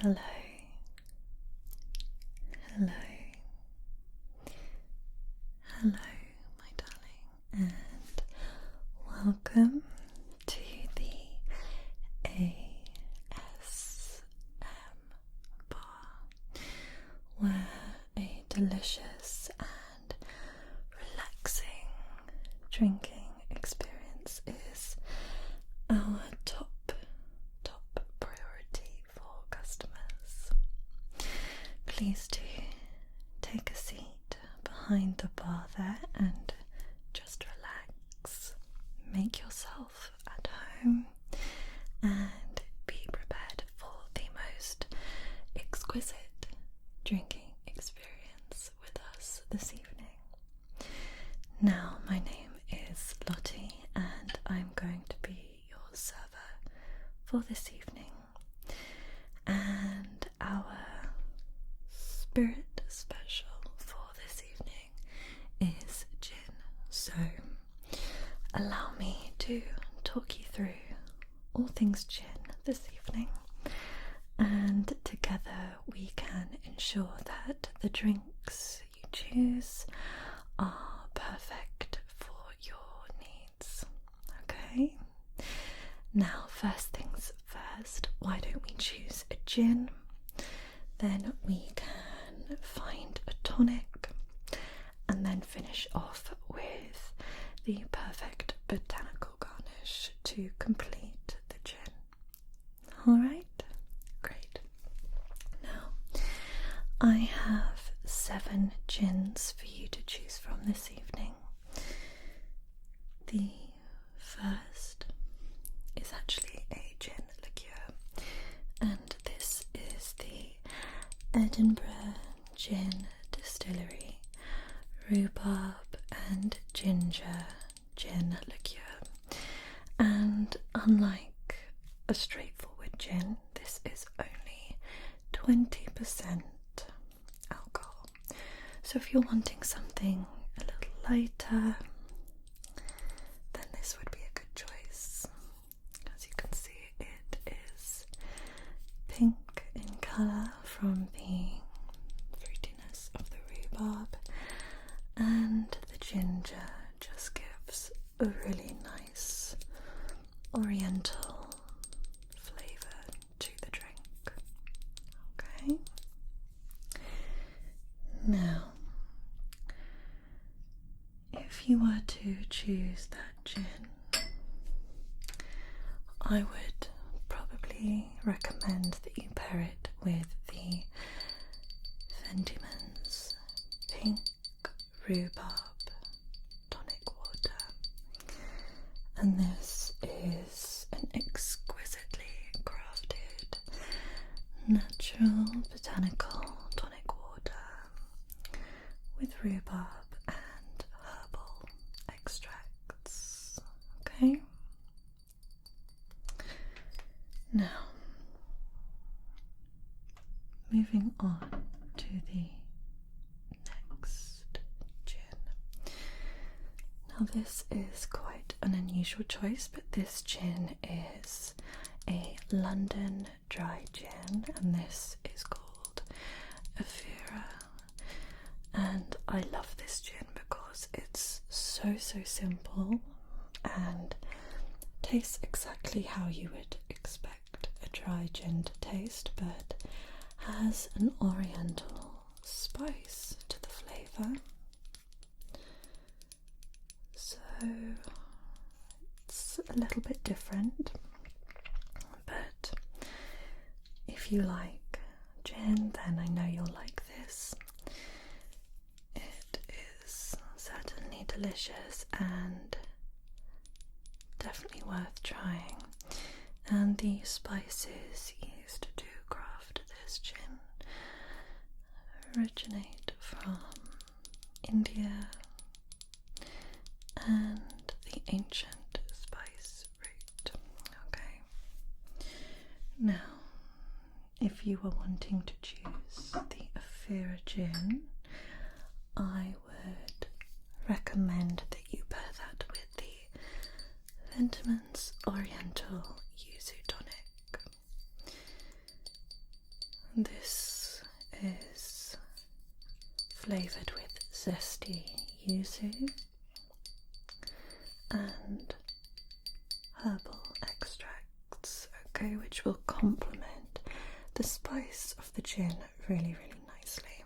Hello. Hello. Hello, my darling, and welcome to the ASM Bar, where a delicious and relaxing drinking experience is our top, top priority for customers. Please do take a seat behind the bar there and just relax. Make yourself at home and be prepared for the most exquisite drinking experience with us this evening. Now, my name is Lottie, and I'm going to be your server for this evening. And our spirit special for this evening is gin. So, allow me to talk you through all things gin this evening, and together we can ensure that the drinks you choose are perfect for your needs. Okay? Now, first things first, why don't we choose a gin? Then we can find a tonic and then finish off with the perfect botanical garnish to complete the gin. Alright, great. Now, I have seven gins for you to choose from this evening. The first is actually a gin liqueur, and this is the Edinburgh Gin Distillery rhubarb and ginger gin liqueur, and unlike a straightforward gin, this is only 20% alcohol. So, if you're wanting something a little lighter, then this would be a good choice. As you can see, it is pink in colour from the fruitiness of the rhubarb and the ginger just gives a really nice oriental flavour to the drink. Okay. Now, if you were to choose that gin, I would probably recommend that you pair it with the Fentimans Pink Rhubarb Tonic Water. And this is an exquisitely crafted natural botanical tonic water with rhubarb and herbal extracts. Okay, now, moving on to the next gin. Now, this is quite an unusual choice, but this gin is a London dry gin, and this is called Avira and I love this gin because it's so so simple and tastes exactly how you would expect a dry gin to taste, but has an oriental spice to the flavour. So it's a little bit different, but if you like gin, then I know you'll like this. It is certainly delicious and definitely worth trying. And the spices used to craft this gin originate from India and the ancient spice Okay. Now, if you were wanting to choose the Ophira gin, I would recommend that you pair that with the Lentimans Oriental Yuzu Tonic. This is flavoured with zesty yuzu and herbal extracts, okay, which will complement the spice of the gin really, really nicely.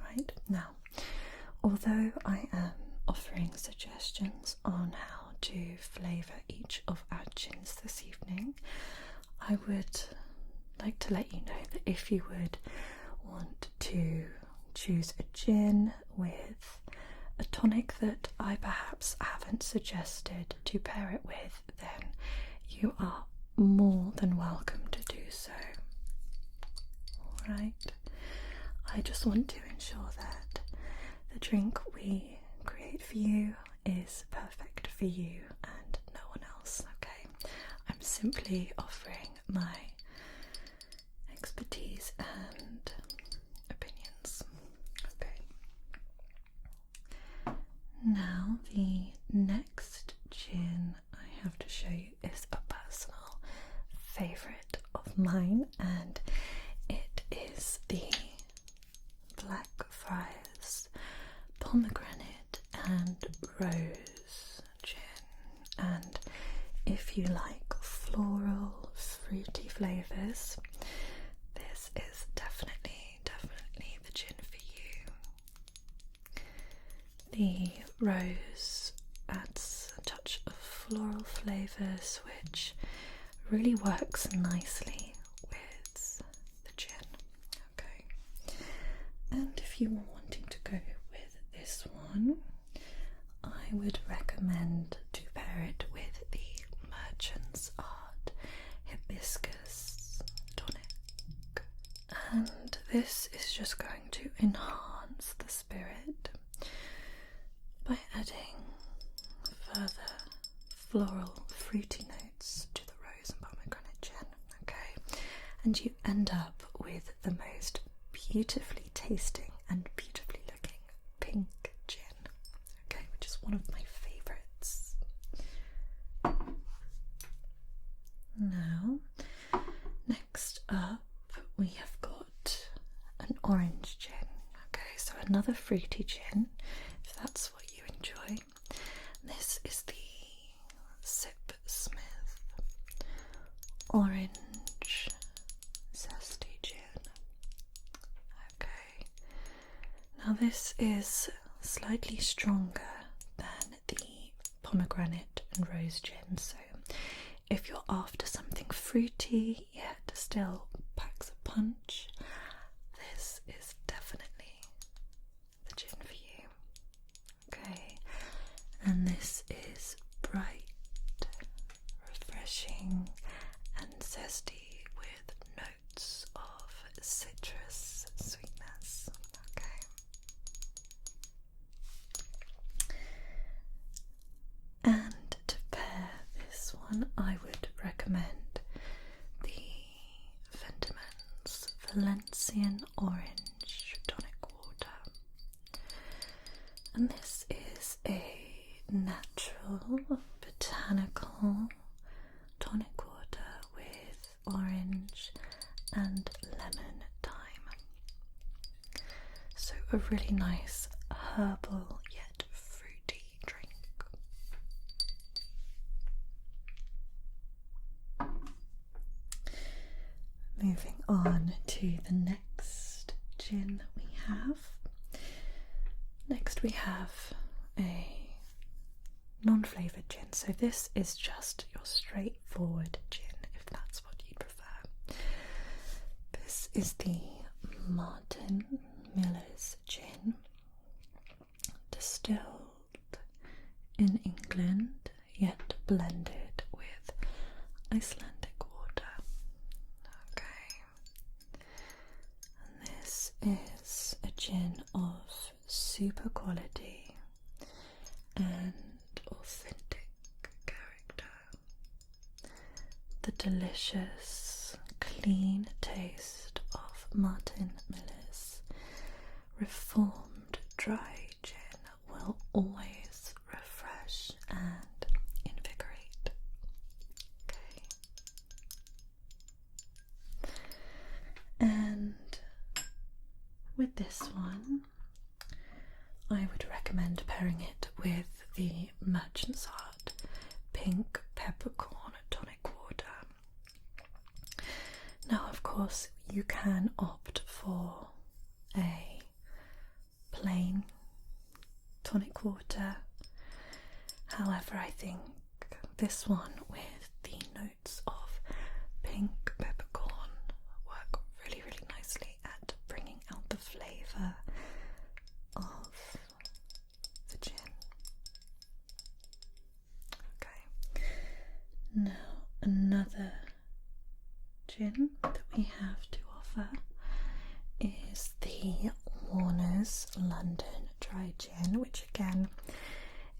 Alright, now, although I am offering suggestions on how to flavour each of our gins this evening, I would like to let you know that if you would want to choose a gin with a tonic that I perhaps haven't suggested to pair it with, then you are more than welcome to do so. Alright, I just want to ensure that the drink we create for you is perfect for you and no one else, okay? I'm simply offering my expertise and opinions. Okay. Now, the next gin I have to show you is a personal favourite of mine, and it is the Black Friars Pomegranate and Rose gin, and if you like floral, fruity flavours, this is definitely, definitely the gin for you. The rose adds a touch of floral flavours, which really works nicely with the gin. Okay, and if you were wanting to go with this one, I would recommend to pair it with the Merchant's Art Hibiscus Tonic. And this is just going to enhance the spirit by adding further floral fruity notes to the rose and pomegranate gin. Okay, and you end up with the most beautifully tasting and beautifully looking pink gin, okay, which is one of my favorites. Now, next up, we have got an orange gin, okay, so another fruity gin if that's what you enjoy. This is the Sip Smith Orange Zesty Gin. Okay, now this is slightly stronger than the pomegranate and rose gin, so if you're after something fruity yet still packs a punch, this is definitely the gin for you. Okay, and this is bright, refreshing, and zesty with notes of citrus sweetness. Okay, and to pair this one, I would recommend the Fentimans Valencian orange tonic water. And this is a natural botanical tonic water with orange and lemon thyme. So, a really nice herbal yet fruity drink. Moving on to the next gin that we have. Next, we have a non flavoured gin. So, this is just your straightforward gin if that's what you prefer. This is the Martin Miller's gin, distilled in England yet blended with Icelandic water. Okay, and this is a gin of super quality and authentic character. The delicious, clean taste of Martin Miller's reformed dry gin will always refresh and invigorate. Okay. And with this one, I would recommend pairing it with the Merchant's Heart Pink Peppercorn Tonic Water now, of course, you can opt for a plain tonic water. However, I think this one with the notes of pink peppercorn work really, really nicely at bringing out the flavour of the gin. Okay. Now, another gin that we have to offer is the Warner's London Dry Gin, which again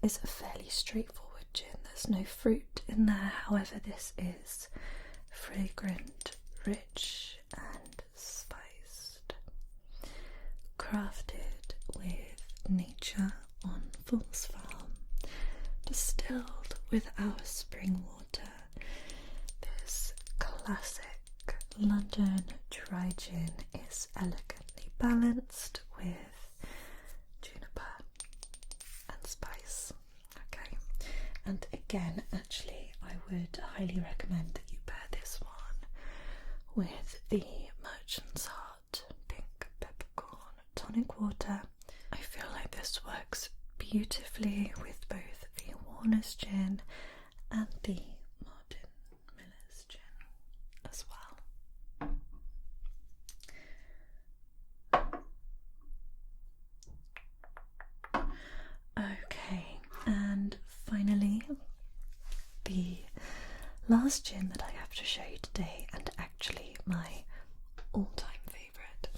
is a fairly straightforward gin. There's no fruit in there, however, this is fragrant, rich, and spiced. Crafted with nature on Fool's Farm, distilled with our spring water. This classic London dry gin is elegantly balanced with juniper and spice. Okay, and again, actually, I would highly recommend that you pair this one with the Merchant's Heart pink peppercorn tonic water. I feel like this works beautifully with both the Warner's gin and the Martin Miller's gin as well. Okay, and finally, the last gin that I have to show you today, and actually my all time favourite,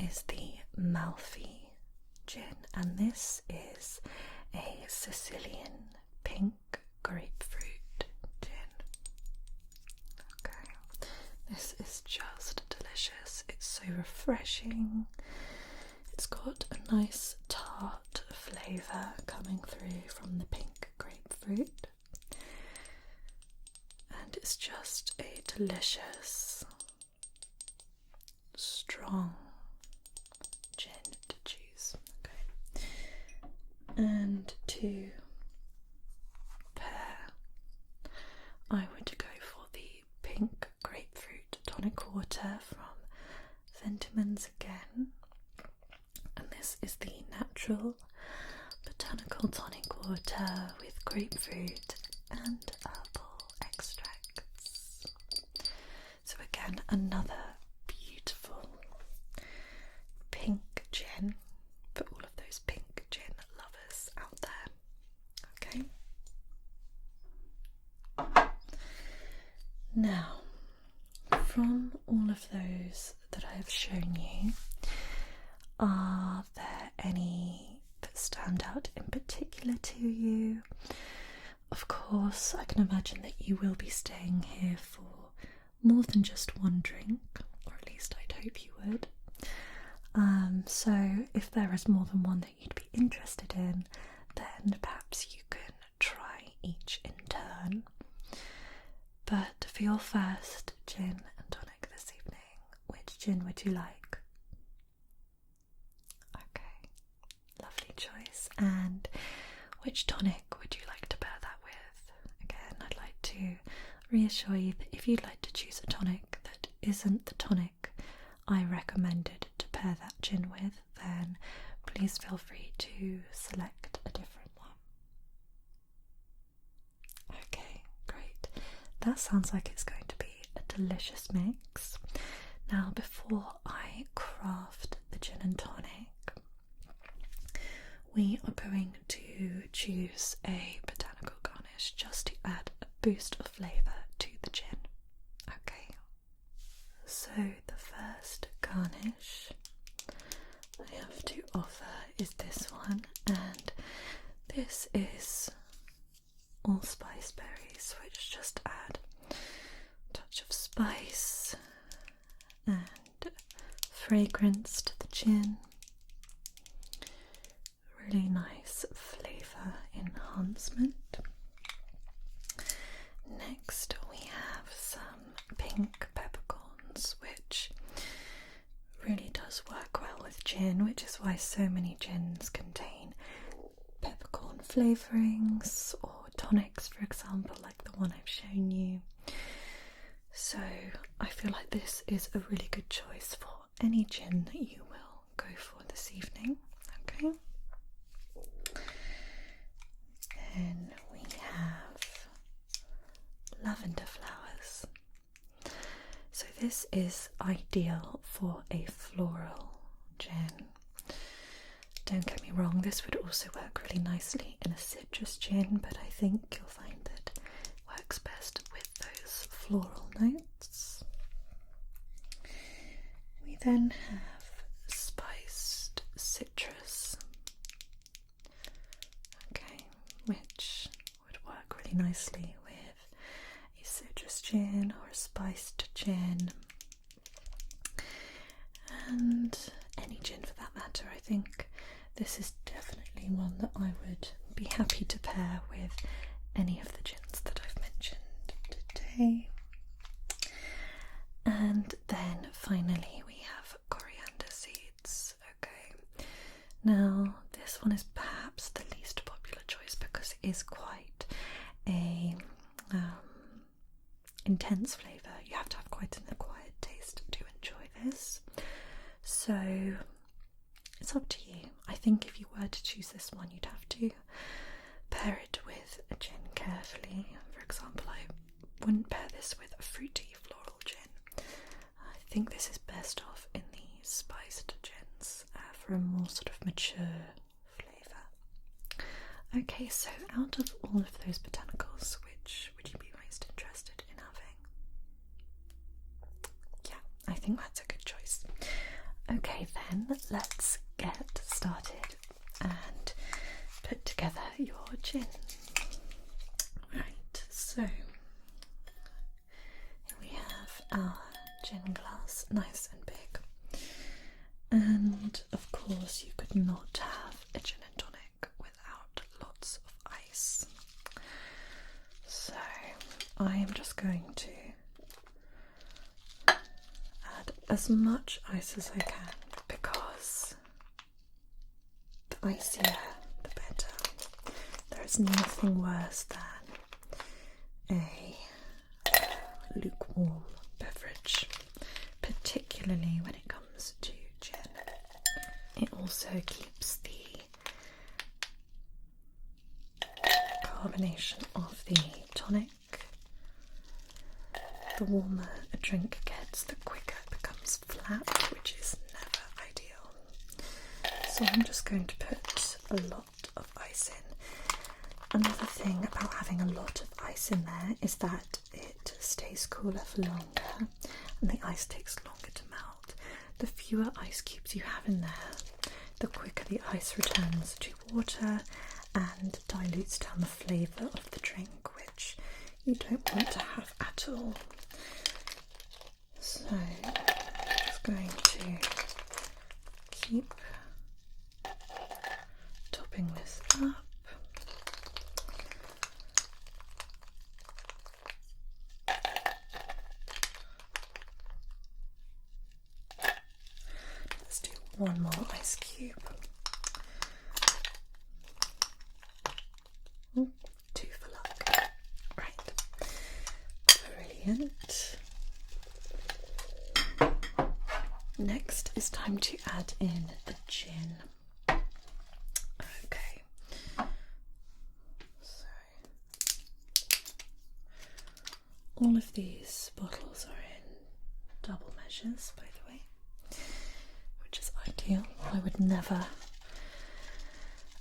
is the Malfi gin, and this is a Sicilian pink grapefruit gin. Okay, this is just delicious, it's so refreshing. It's got a nice tart flavour coming through from the pink grapefruit, and it's just a delicious, strong gin to choose. Okay, and to pair, I want to go for the pink grapefruit tonic water from Sentiments again and this is the natural botanical tonic water with grapefruit and herbal extracts. So, again, another beautiful pink gin for all of those pink gin lovers out there. Okay, now from all of those that I have shown you, are there any that stand out in particular to you? Of course, I can imagine that you will be staying here for more than just one drink, or at least I'd hope you would. Um, so, if there is more than one that you'd be interested in, then perhaps you can try each in turn. But for your first gin and tonic this evening, which gin would you like? Okay, lovely choice. And which tonic would you like to pair that with? Again, I'd like to reassure you that if you'd like to choose a tonic that isn't the tonic I recommended to pair that gin with, then please feel free to select a different one. Okay, great. That sounds like it's going to be a delicious mix. Now, before I craft the gin and tonic, we are going to choose a botanical garnish just to add a boost of flavour to the gin. Okay, so, the first garnish I have to offer is this one, and this is allspice berries, which just add a touch of spice and fragrance to the gin. Really nice flavour enhancement. Next, we have some pink peppercorns, which really does work well with gin, which is why so many gins contain peppercorn flavourings or tonics, for example, like the one I've shown you. So, I feel like this is a really good choice for any gin that you will go for this evening. Okay. Then we have lavender flowers. So, this is ideal for a floral gin. Don't get me wrong, this would also work really nicely in a citrus gin, but I think you'll find that it works best with those floral notes. We then have spiced citrus. Okay, which would work really nicely with a citrus gin or a spiced gin. And any gin for that matter, I think this is definitely one that I would be happy to pair with any of the gins that I've mentioned today. And then finally, we have coriander seeds. Okay, now this one is perhaps the least popular choice because it is quite a um, intense flavour. You have to have quite an acquired taste to enjoy this. So it's up to you. I think if you were to choose this one, you'd have to pair it with a gin carefully. For example, I wouldn't pair this with a fruity floral gin. I think this is best off in the spiced gins uh, for a more sort of mature flavour. Okay, so out of all of those botanicals, which would you be most interested in having? Yeah, I think that's a good choice. Okay, then let's get started and put together your gin. Right, so we have our gin glass, nice and big. And of course, you could not have a gin and tonic without lots of ice. So I am just going to add as much ice as I can because the icier the better. There is nothing worse than a uh, lukewarm beverage, particularly when it comes to gin. It also keeps the carbonation of the tonic the warmer a drink gets, the quicker it becomes flat, which is never ideal. So I'm just going to put a lot of ice in. Another thing about having a lot of ice in there is that it stays cooler for longer and the ice takes longer to melt. The fewer ice cubes you have in there, the quicker the ice returns to water and dilutes down the flavour of the drink, which you don't want to have at all. So I'm just going to keep topping this up. Let's do one more ice cube. two for luck. Right. Brilliant. Next it's time to add in the gin. Okay. All of these bottles are in double measures, by the way, which is ideal. I would never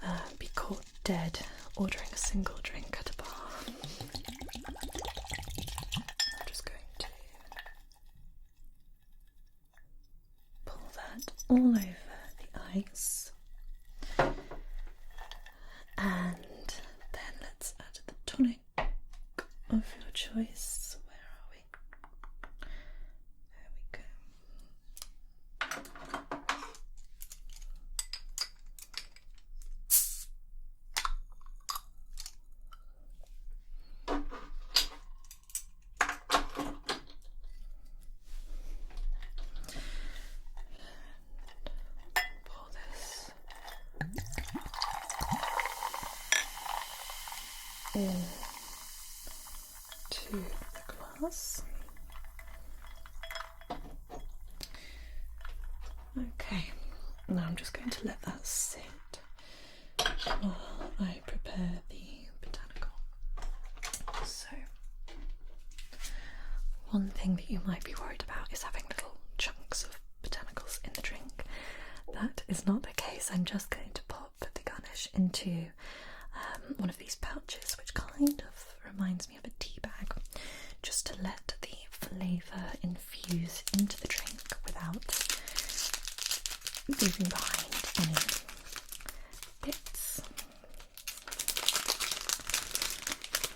uh, be caught dead ordering a single drink at a bar. I'm just going to pull that all over the ice. And then let's add the tonic of your choice. Where are we? There we go. And this into the glass. Okay, now I'm just going to let that sit while I prepare the botanical. So, one thing that you might be worried about is having little chunks of botanicals in the drink. That is not the case. I'm just going to pop the garnish into um, one of these pouches, which kind of reminds me of a tea bag, just to let the flavour infuse into the drink without leaving behind any bits.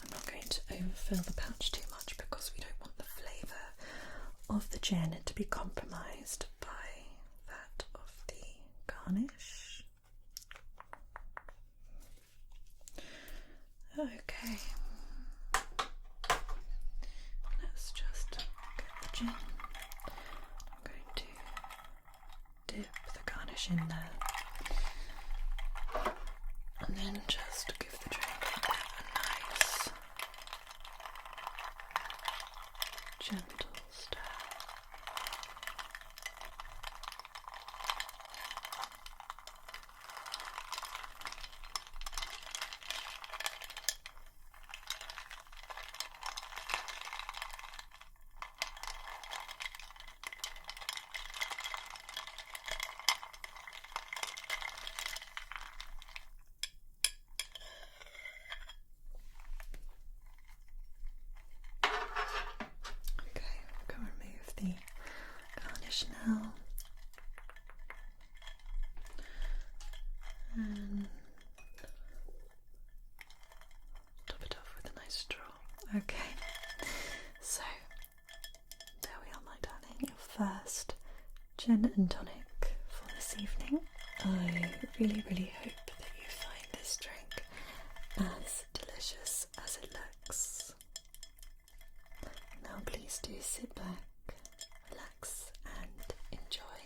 I'm not going to overfill the pouch too much because we don't want the flavour of the gin to be compromised by that of the garnish. Okay, let's just get the gin. I'm going to dip the garnish in there and then just give the dragon that a nice gentle stir. Okay, I'm going to remove the garnish now. And top it off with a nice straw. Okay, so there we are, my darling, your first gin and tonic for this evening. I really, really hope that you find this drink as delicious as it looks. Now, please do sit back, relax, and enjoy.